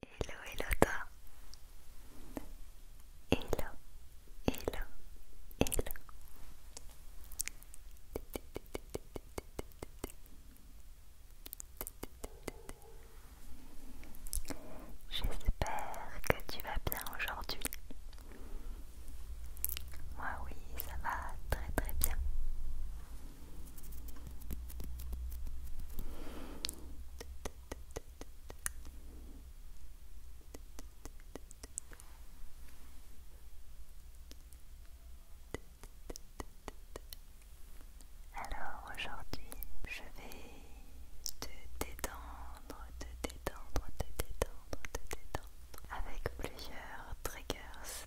Hello, hello toi. Hello, hello, hello. J'espère que tu vas bien aujourd'hui. Moi oui, ça va très très bien. Alors aujourd'hui, je vais te détendre, te détendre, te détendre, te détendre avec plusieurs triggers.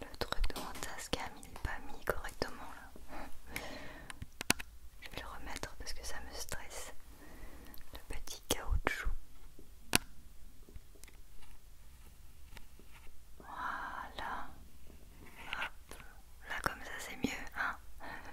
Le truc de mon il n'est pas mis correctement là. Je vais le remettre parce que ça me stresse. Le petit caoutchouc. Voilà. Là comme ça c'est mieux, hein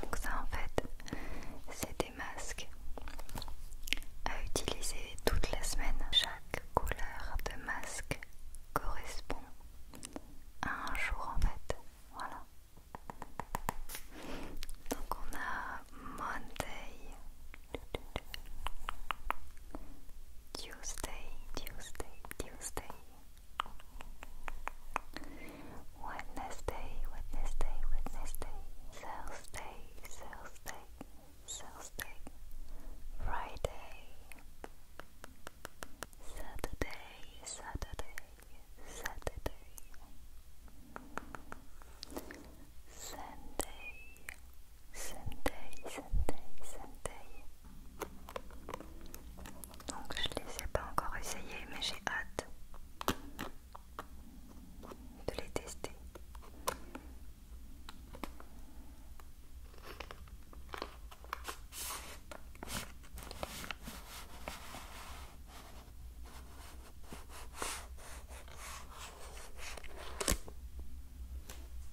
Donc ça en fait, c'est des masques à utiliser toute la semaine. Chaque couleur de masque correspond à un jour en fait. Voilà. Donc on a Monday, Tuesday, Tuesday, Tuesday, Wednesday, Wednesday, Wednesday, Thursday, Thursday, Thursday, Friday, Saturday, Saturday, Saturday, Sunday, Sunday, Sunday, Sunday, Donc je ne les ai pas encore essayé mais j'ai hâte de les tester.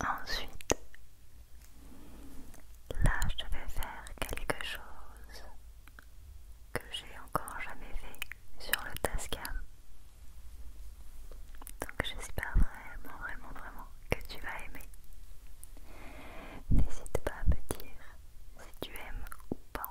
Ensuite, là je vais faire quelque chose que j'ai encore jamais fait sur le Tascam. Donc j'espère vraiment, vraiment, vraiment que tu vas aimer. N'hésite pas à me dire si tu aimes ou pas.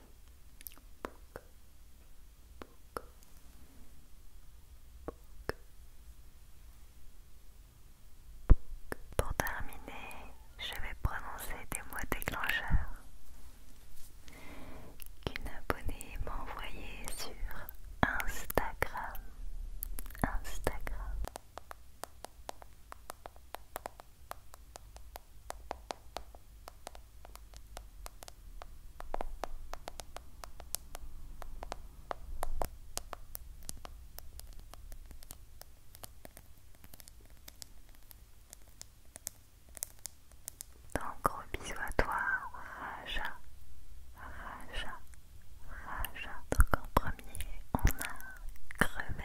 Pour terminer, je vais prononcer des mots déclencheurs qu'une abonnée m'a envoyé sur Instagram. Instagram. Donc gros bisous à toi, Raja, Raja, Raja. Donc en premier, on a crevette,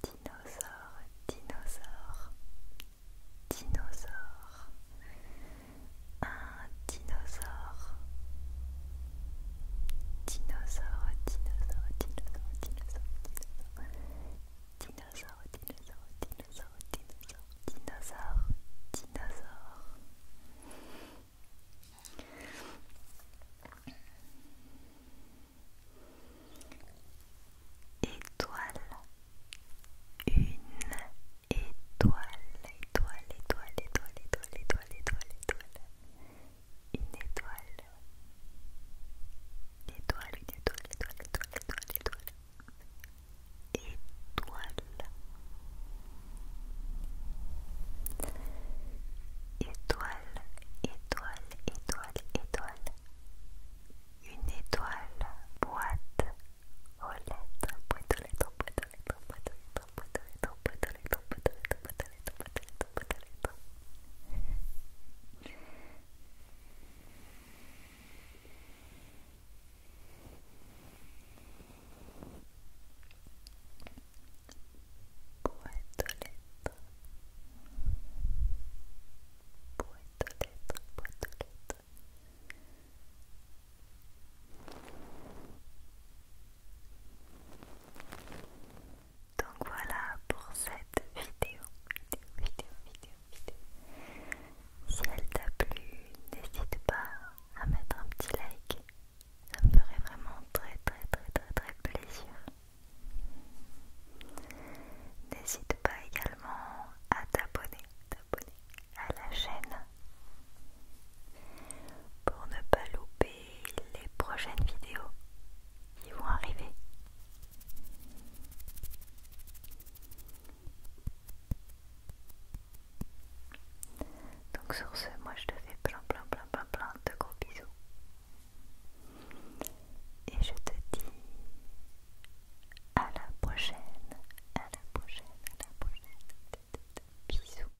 Dinosaure, dinosaure, dinosaure, un dinosaure, dinosaure, dinosaure, dinosaure, dinosaure, dinosaure, dinosaure, dinosaure, dinosaure, dinosaure, dinosaure. Étoile, une étoile, étoile, étoile, étoile, étoile, étoile, étoile, une étoile, étoile, étoile, étoile, étoile, étoile, étoile, étoile. Une étoile, boîte aux lettres, boîte aux lettres, boîte aux lettres, boîte aux lettres, boîte aux lettres, Donc voilà pour cette vidéo, vidéo, vidéo, vidéo, vidéo. Si elle t'a plu, n'hésite pas à mettre un petit like. Ça me ferait vraiment très très très très très plaisir. N'hésite pas également à t'abonner à la chaîne pour ne pas louper les prochaines vidéos qui vont arriver. Donc sur ce, moi je te fais plein plein plein plein plein de gros bisous. Et je te dis à la prochaine, à la prochaine, à la prochaine. Bisous.